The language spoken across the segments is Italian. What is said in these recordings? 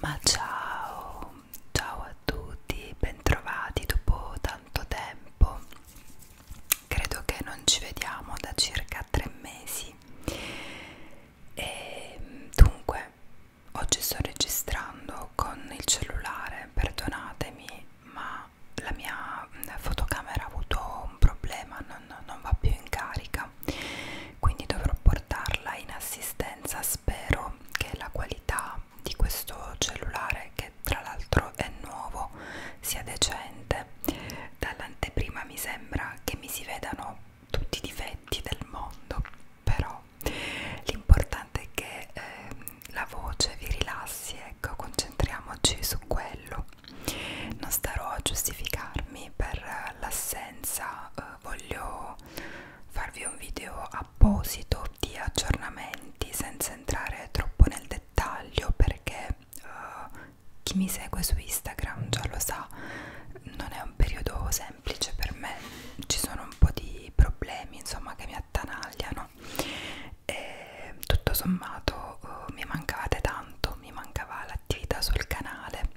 Ma ciao, ciao a tutti, bentrovati dopo tanto tempo. Credo che non ci vediamo da circa tre mesi. E ehm, dunque, oggi sto registrando con il cellulare, perdonatemi, ma la mia eh, fotocamera ha avuto un problema, non, non va più in carica, quindi dovrò portarla in assistenza. Spero che la qualità di questo cellulare, che tra l'altro è nuovo, sia decente. Dall'anteprima mi sembra che mi si vedano tutti i difetti del mondo però l'importante è che ehm, la voce vi rilassi, ecco, concentriamoci su quello. Non starò a giustificarmi per l'assenza, eh, voglio farvi un video apposito di aggiornamenti senza entrare troppo nel dettaglio perché eh, chi mi segue su Instagram già lo sa, non è un periodo semplice per me, ci sono un po' di problemi insomma che mi attanagliano e tutto sommato eh, mi mancavate tanto, mi mancava l'attività sul canale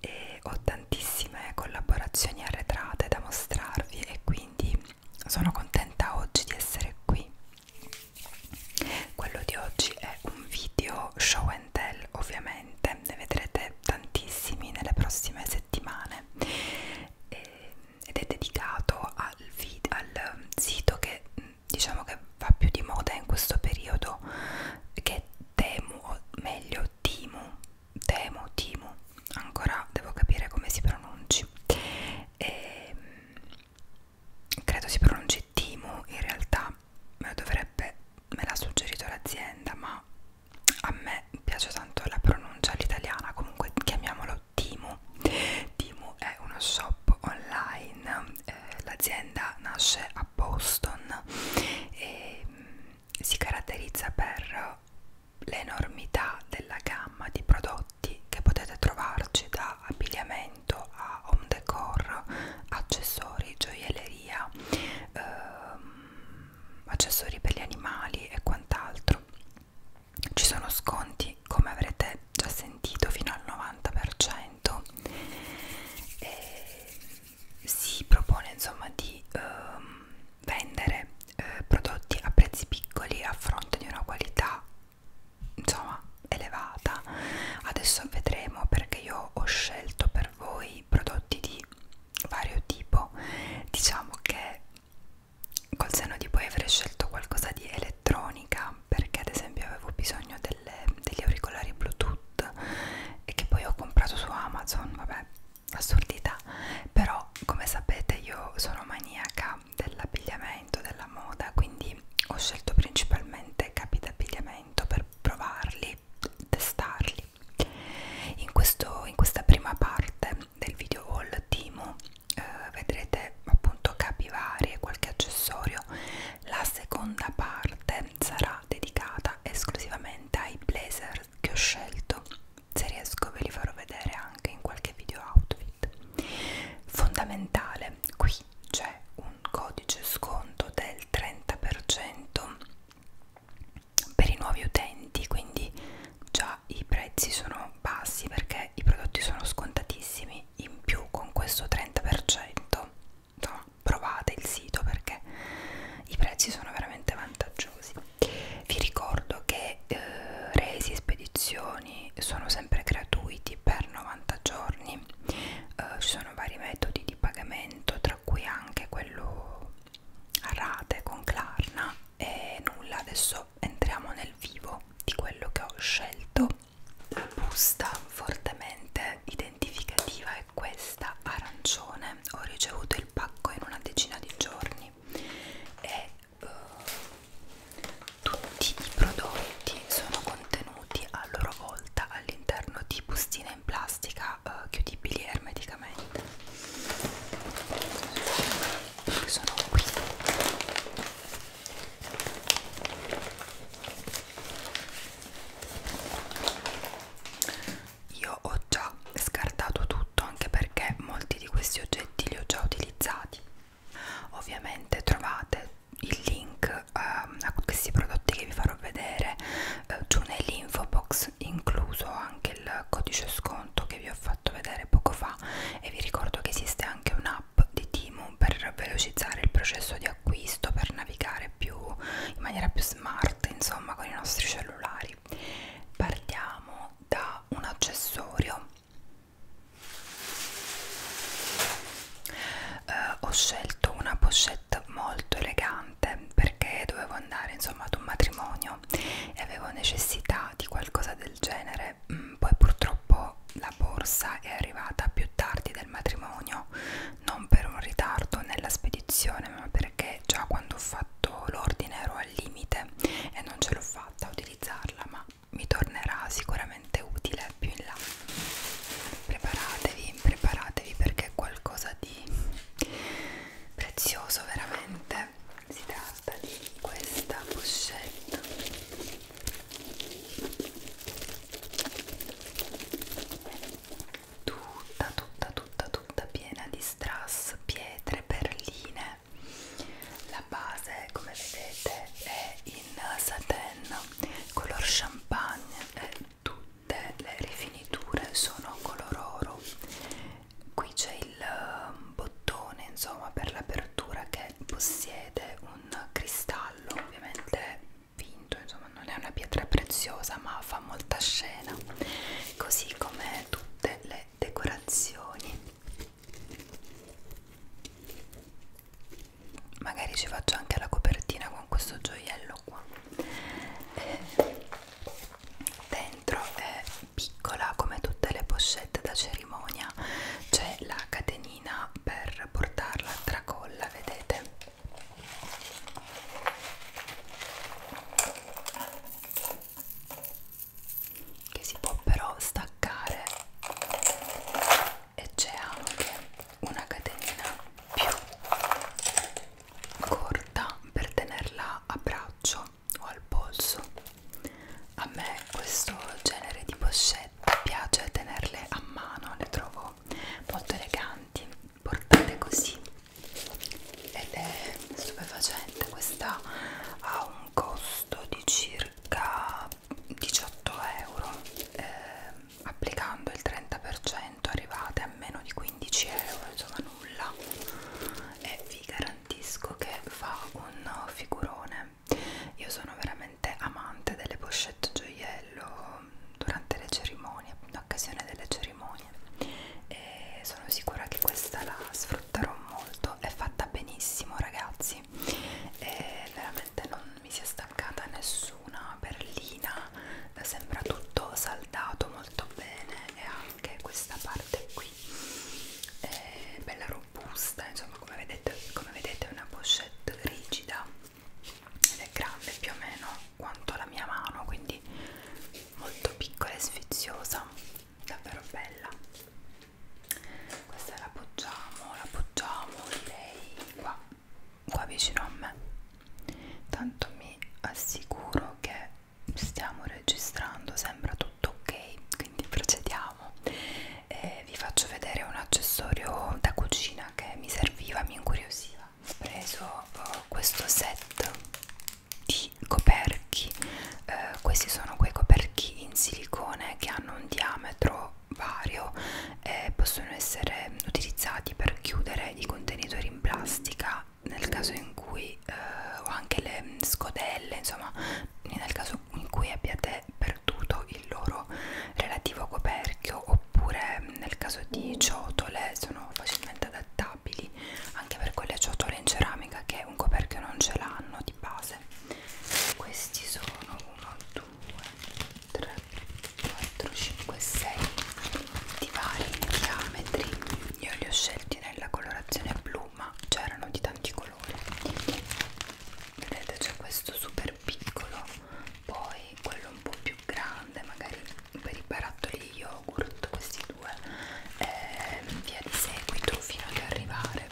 e ho tantissime collaborazioni arretrate da mostrarvi e quindi sono contenta oggi di essere qui. Quello di oggi è un video show and Intel ovviamente ne vedrete tantissimi nelle prossime settimane e, ed è dedicato al, vid al mm, sito che mm, diciamo che va più di moda in questo periodo che Temu o meglio Timu Temu Timu ancora devo capire come si pronunci e, mm, credo si pronunci Timu in realtà me lo dovrebbe me l'ha suggerito l'azienda ma a me piace tanto la pronuncia all'italiana comunque chiamiamolo Timu Timu è uno shop online eh, l'azienda nasce a Boston e mh, mm, si caratterizza per l'enormità della gamma di prodotti che potete trovarci da abbigliamento a home decor accessori, gioielleria ehm, accessori per gli animali e quant'altro ci sono sconti come avrete già sentito fino al 90% e si propone insomma di ehm, vendere eh, prodotti a prezzi piccoli a fronte di una qualità insomma elevata adesso vedremo perché io ho scelto per per voi prodotti di vario tipo diciamo che col senno di poi avrei scelto qualcosa di elettronica perché ad esempio avevo bisogno delle, degli auricolari bluetooth e che poi ho comprato su amazon vabbè assurdità però come sapete io sono maniaca dell'abbigliamento della moda quindi ho scelto principalmente capi d'abbigliamento momento per provarli, testarli. In, questo, in questa prima parte del video haul Timo eh, vedrete appunto capivari e qualche accessorio. La seconda parte sarà dedicata esclusivamente ai blazer che ho scelto. Se riesco ve li farò vedere anche in qualche video outfit. Fondamentale, qui c'è un codice sconto del 30% per i nuovi utenti quindi già i prezzi sono bassi perché i prodotti sono scontatissimi in più con questo 30% insomma provate il sito perché i prezzi sono veramente vantaggiosi vi ricordo che eh, resi e spedizioni sono sempre gratuiti per 90 giorni eh, ci sono vari metodi di pagamento tra per cui anche quello a rate con Klarna e nulla adesso entriamo nel vivo di quello che ho scelto la busta fortemente identificativa è questa arancione ho ricevuto il pacco in una decina di giorni e uh, tutti i prodotti sono contenuti contenuti a loro volta all'interno di bustine in plastica eh, chiudibili ermeticamente che sono qui io ho già scartato tutto anche perché molti di questi oggetti li ho già utilizzati ovviamente trovate il link uh, a questi prodotti che vi farò vedere uh, giù nell'info box incluso anche il codice sconto che vi ho fatto vedere poco fa e vi ricordo che esiste anche un'app di Timo per velocizzare il processo di acquisto per navigare più in maniera più smart insomma con i nostri cellulari partiamo da un accessorio eh, ho scelto una pochette t-shirt molto elegante perché dovevo andare insomma ad un matrimonio e avevo necessità di qualcosa del genere mm, poi purtroppo la borsa è arrivata più tardi del matrimonio non per un ritardo nella spedizione ma perché già quando ho fatto l'ordine ero al limite e non ce l'ho fatta a utilizzarla ma mi tornerà sicuramente utile più in là preparatevi preparatevi perché è qualcosa di prezioso veramente si tratta di questa pochette tutta tutta tutta tutta piena di strass pietre perline la base come vedete è in satin color champagne è tutte le rifiniture sono color oro qui c'è il ehm, bottone insomma per l'apertura che possiede un cristallo ovviamente vinto insomma non è una pietra preziosa ma fa molta scena così come tutte le decorazioni magari ci faccio anche la copertina con questo gioiello qua eh, dentro è piccola come tutte le pochette da cerimonia c'è la catenina per portarla a tracolla vedete che si può però staccare e c'è anche una catenina più corta per tenerla a braccio o al polso a me questo genere di pochette piace tenerle a mano le trovo molto eleganti portate così ed è stupefacente questa ha un costo di circa 18 euro eh, applicando il 30% arrivate a meno di 15 euro insomma nulla e vi garantisco che fa un figurone io sono veramente amante delle pochette gioiello durante le cerimonie in occasione delle cerimonie e sono sicura che questa la sfrutterò molto è fatta benissimo ragazzi e veramente non non mi sia staccata nessuna perlina sembra tutto saldato molto bene e anche questa parte qui è bella robusta insomma come vedete, come vedete è una pochette rigida ed è grande più o meno quanto la mia mano quindi molto piccola e sfiziosa davvero bella questa la appoggiamo la appoggiamo direi qua qua vicino a me tanto mi assicuro che stiamo registrando sembra tutto ok quindi procediamo e vi faccio vedere un accessorio da cucina che mi serviva mi incuriosiva ho preso eh, questo set di coperchi eh, questi sono quei coperchi in silicone che hanno un diametro vario eh, possono essere utilizzati per chiudere i contenitori in plastica nel caso in cui eh, o anche le scodelle insomma nel caso in cui abbiate perduto il loro relativo coperchio oppure mm, nel caso di ciotole sono facilmente adattabili anche per quelle ciotole in ceramica che un coperchio non ce l'hanno di base questi sono 1 2 3, 4, 5, 6 di vari diametri io li ho scelti nella colorazione blu ma c'erano di tanti colori vedete c'è questo super piccolo poi quello un po' più grande magari per i barattoli di yogurt questi due e eh, via di seguito fino ad arrivare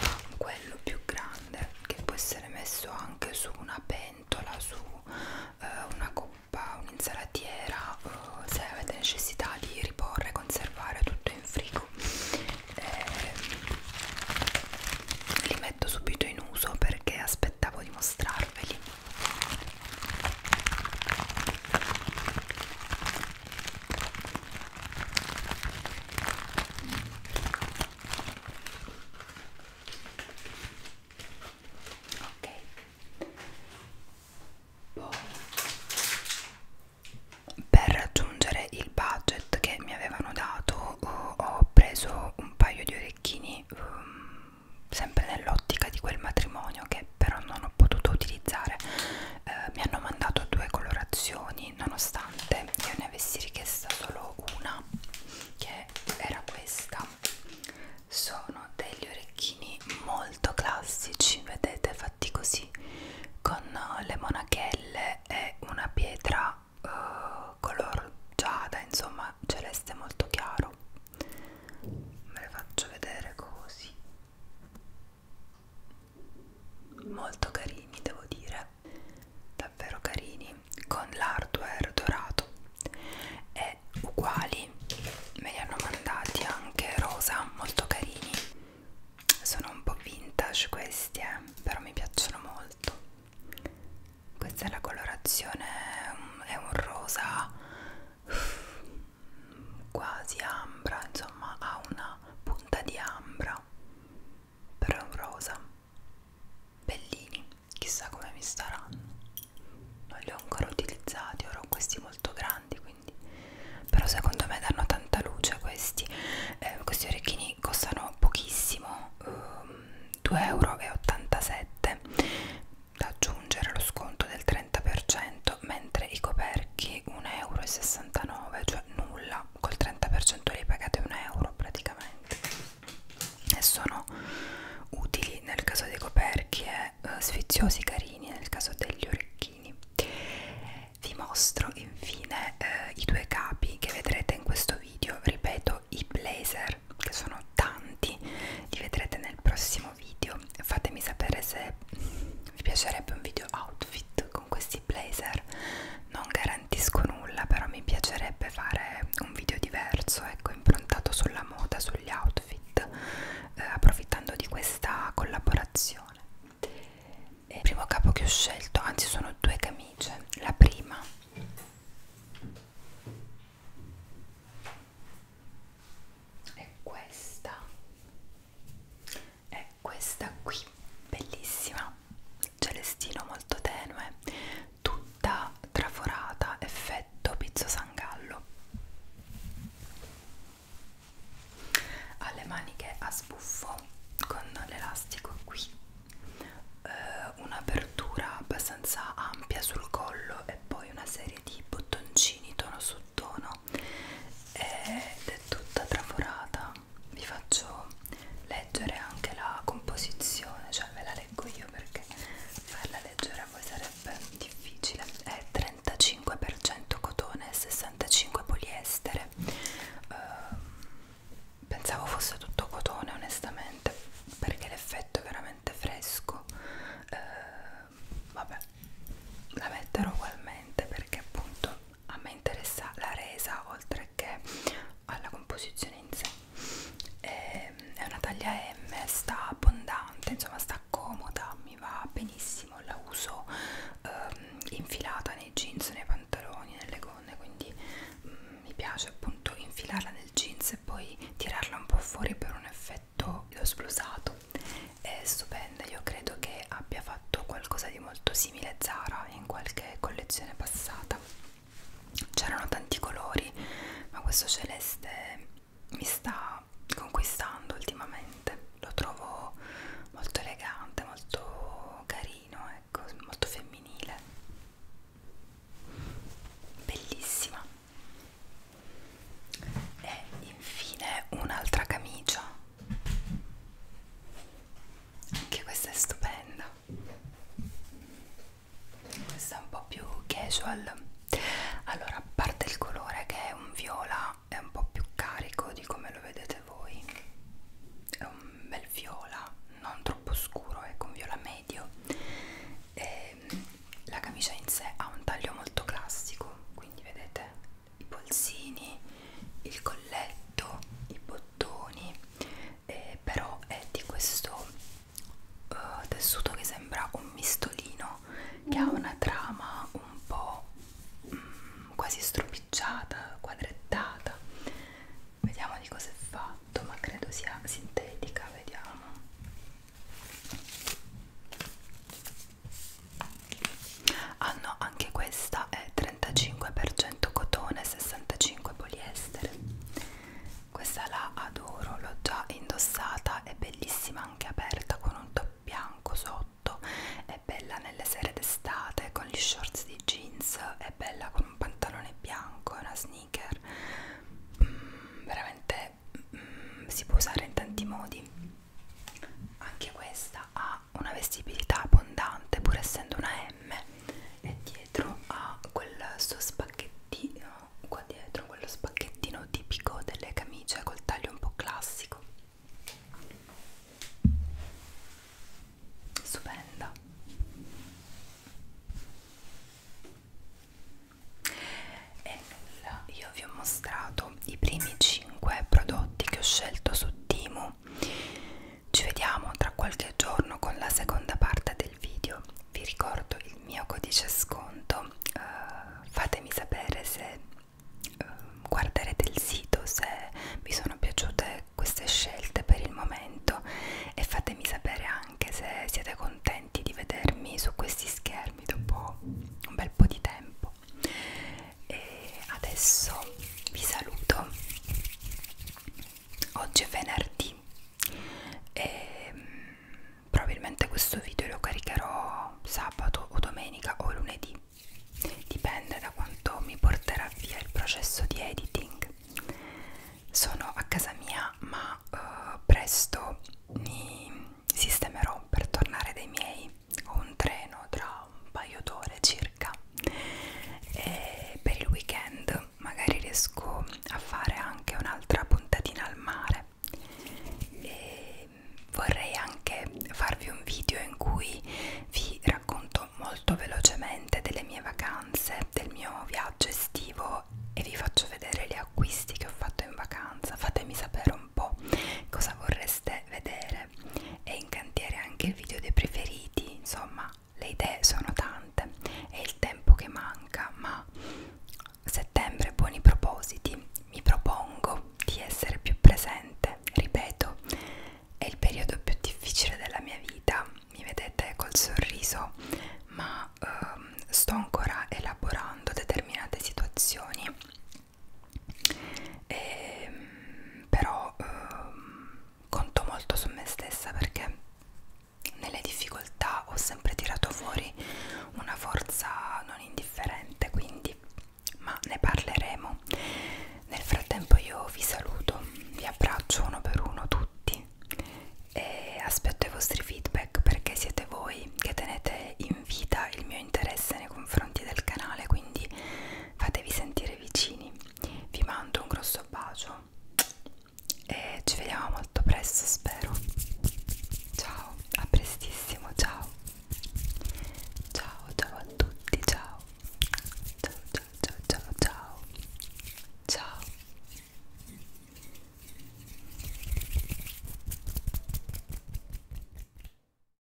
a quello più grande grande che può essere messo anche su una pentola, su eh, una coppa, un'insalatiera eh, se avete necessità di riporre, conservare tutto in frigo eh, li metto subito in uso perché aspettavo di mostrarveli ok poi per raggiungere il budget che mi avevano dato ho preso un paio di orecchini um, sempre nell'ottica di quel matrimonio che però non ho potuto utilizzare eh, mi hanno mandato due colorazioni quindi nonostante io ne avessi richiesta solo una che era questa sono degli orecchini molto classici vedete fatti così con uh, le monachelle e una pietra uh, color giada insomma celeste molto chiaro me le faccio vedere così molto carini devo dire davvero carini con l'hardware dorato e uguali me li hanno mandati anche rosa molto carini sono un po' vintage questi eh, però mi piacciono molto questa è la colorazione è un rosa quasi ambra insomma ha una punta di ambra però è un rosa bellini chissà come mi staranno non li ho ancora utilizzati ora ho questi molto grandi quindi però secondo me danno tanta luce questi eh, questi orecchini costano pochissimo ehm, 2,87 euro da aggiungere lo sconto del 30% mentre i coperchi 1,69 euro cioè nulla ma col 30% li pagate un euro praticamente e sono utili nel caso dei coperchi e eh, sfiziosi carini nel caso degli orecchini vi mostro infine eh, i due capi che vedrete in questo video ripeto i blazer che sono tanti li vedrete nel prossimo video fatemi sapere se vi piacerebbe un video outfit con questi blazer non garantisco nulla però mi piacerebbe fare un video diverso ecco improntato sulla moda sugli outfit eh, approfittando di questa collaborazione e il primo capo che ho scelto anzi sono due camicie la prima è questa è questa qui bellissima celestino molto tenue, tutta traforata, effetto pizzo sangallo. Ha le maniche a sbuffo con l'elastico qui, eh, un'apertura abbastanza ampia sul collo e poi una serie di bottoncini tono su tono ed è tutta traforata vi faccio leggere anche la composizione, cioè ve la leggo io perché farla leggere a voi sarebbe difficile. È 35% cotone e 65% poliestere. Uh, pensavo fosse tutto cotone onestamente perché l'effetto è veramente fresco. Uh, vabbè, la metterò ugualmente perché appunto a me interessa la resa oltre perché alla composizione in sé è, ehm, è una taglia M, sta abbondante, insomma sta comoda, mi va benissimo, la uso ehm, infilata nei jeans, nei pantaloni, nelle gonne, quindi mh, mm, mi piace appunto infilarla nel jeans e poi tirarla un po' fuori per un effetto l'ho splusato è stupenda io credo che abbia fatto qualcosa qualcosa di molto simile a Zara in qualche collezione passata c'erano tanti colori ma questo celeste mi sta conquistando ultimamente lo trovo molto elegante molto carino ecco molto femminile bellissima e infine un'altra camicia anche questa è stupenda. Questa è un po' più casual. Allora, a parte il colore che è un viola, è un po' più carico di come lo vedete voi. È un bel viola, non troppo scuro, è ecco, un viola medio. E ehm, la camicia in sé ha un taglio molto classico, quindi vedete i polsini, il colletto, i bottoni, eh, però è di questo eh, tessuto che sembra un mistolino, che ha mm. una trama un po' mm, quasi stropicciata, quadrettata. Vediamo di cosa è fatto, ma credo sia sintetica, vediamo hanno ah, anche questa è 35% cotone 65 poliestere questa la adoro l'ho già indossata è bellissima anche aperta con un top bianco sotto è bella nelle sere d'estate con gli shorts di jeans è bella con un pantalone bianco e una sneaker mm, veramente mm, si può usare in tanti modi anche questa ha ha una vestibilità abbondante pur essendo una M e dietro ha quel suo spacchettino qua dietro quello spacchettino tipico delle camicie col taglio un po' classico stupenda e nulla io vi ho mostrato i primi 5 prodotti che ho scelto su Timu ci vediamo tra qualche giorno con la seconda parte del video. Vi ricordo il mio codice sconto. Uh, fatemi sapere se uh, guarderete il sito, se vi sono piaciute queste scelte per il momento e fatemi sapere anche se siete contenti di vedermi su questi schermi dopo un bel po' di tempo tempo e adesso vi saluto oggi è venerdì e mm, probabilmente questo video lo caricherò sabato o domenica o lunedì dipende da quanto mi porterà via il processo di editing sono a casa mia ma uh, presto mi sistemerò per tornare dai miei o un treno tra un paio d'ore circa e per il weekend magari riesco a fare anche un'altra puntatina al mare e vorrei anche farvi un video in cui vi racconto molto velocemente delle mie vacanze del mio viaggio estivo e vi faccio vedere gli acquisti che ho fatto in vacanza fatemi sapere un po' cosa vorreste vedere cantiere è in cantiere anche il video dei preferiti insomma le idee sono tante è il tempo che manca ma settembre buoni propositi mi propongo di essere più presente ripeto è il periodo più difficile della mia vita mi vedete col sorriso ma ehm, sto ancora elaborando determinate situazioni e, ehm, però ehm, conto molto su me stessa perché nelle difficoltà ho sempre tirato fuori una forza non indifferente quindi ma ne parleremo nel frattempo io vi saluto vi abbraccio uno per uno tutti e aspetto i vostri feedback perché siete voi che tenete in vita il mio interesse nei confronti del canale quindi fatevi sentire vicini vi mando un grosso bacio e ci vediamo molto presto spero ciao a prestissimo ciao ciao ciao a tutti ciao ciao ciao ciao ciao ciao, ciao.